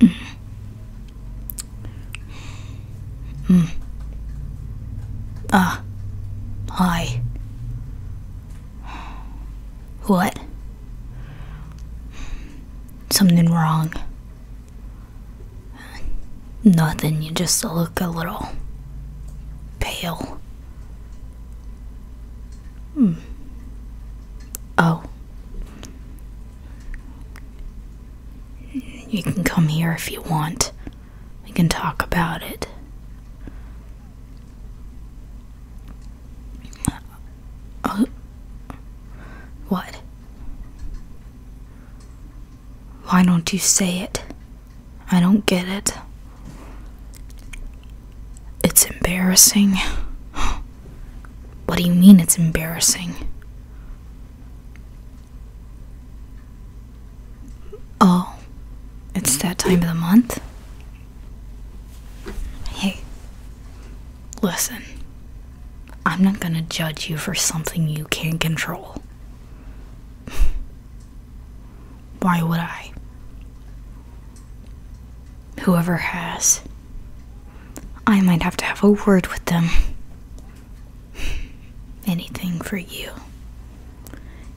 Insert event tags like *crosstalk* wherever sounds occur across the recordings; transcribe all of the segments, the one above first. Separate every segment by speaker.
Speaker 1: Mm. Mm. Ah, hi. What? Something wrong? Nothing, you just look a little pale. Mm. Oh. You can come here if you want. We can talk about it. Oh. what? Why don't you say it? I don't get it. It's embarrassing. *gasps* Oh. What do you mean it's embarrassing? Oh, it's that time of the month? Hey, listen. I'm not gonna judge you for something you can't control. *laughs* Why would I? Whoever has I might have to have a word with them. Anything for you.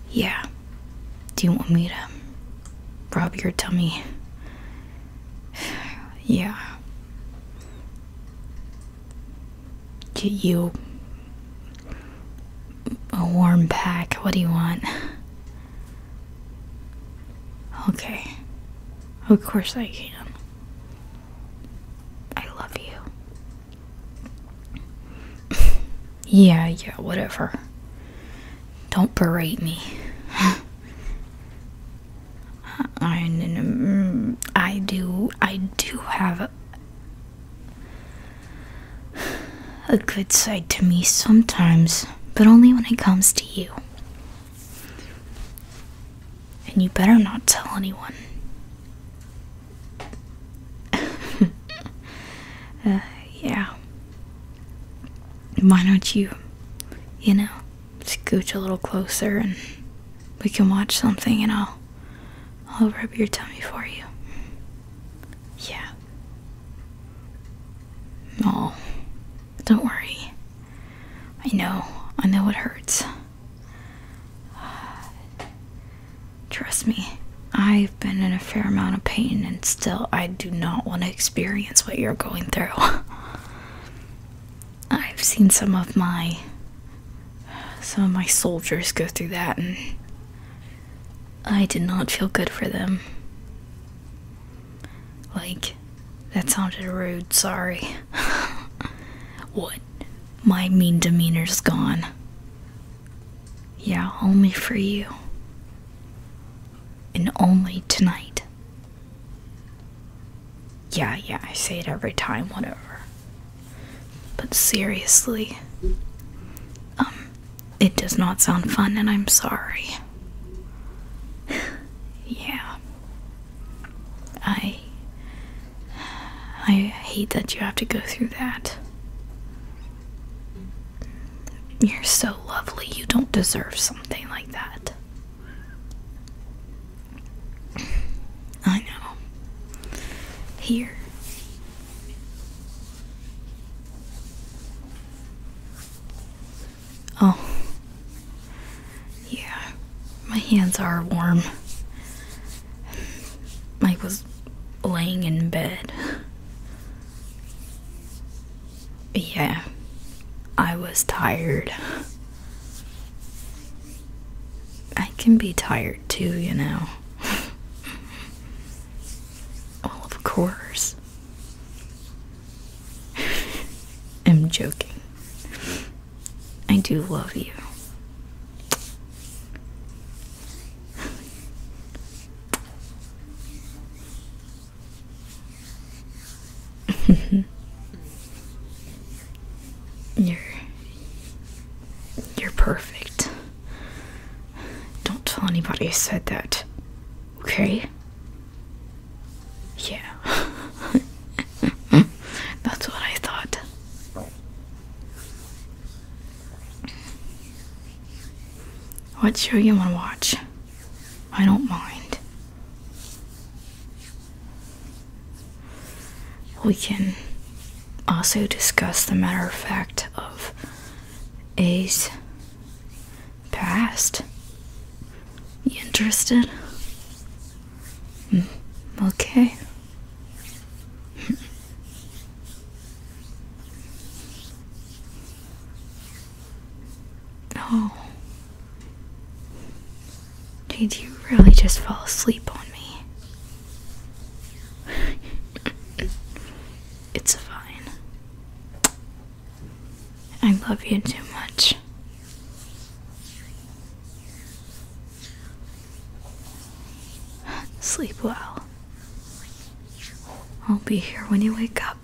Speaker 1: Yeah. Do you want me to rub your tummy? *sighs* Yeah. Do you. A warm pack. What do you want? Okay. Of course I can. I love you. *laughs* yeah, yeah, whatever. Don't berate me. *laughs* I, mm, I do, I do have *sighs* a good side to me sometimes, but only when it comes to you. And you better not tell anyone. *laughs* Uh, yeah. Why don't you, you know, scooch a little closer and we can watch something and I'll I'll rub your tummy for you. Yeah. No. Oh, don't worry. I know, I know it hurts. Trust me, I've been in a fair amount of pain, and still, I do not want to experience what you're going through. *laughs* I've seen some of my some of my soldiers go through that and I did not feel good for them. Like that sounded rude, sorry. *laughs* what? My mean demeanor's gone. Yeah, only for you. And only tonight. Yeah, yeah, I say it every time, whatever. But seriously, um, it does not sound fun, and I'm sorry. *laughs* yeah. I. I hate that you have to go through that. You're so lovely. You don't deserve something like that. I know. Here. Oh. Yeah, my hands are warm. I was laying in bed. Yeah, I was tired. I can be tired too, you know. *laughs* well, of course. I'm joking. I do love you. *laughs* you're you're perfect. Don't tell anybody I said that. Okay? Yeah. *laughs* That's what I thought. What show you wanna watch? I don't mind. We can also discuss the matter of fact of A's past. You interested? Hmm, okay. *laughs* oh. Did you really just fall asleep on me? *laughs* it's fine. I love you too much. *sighs* Sleep well. I'll be here when you wake up.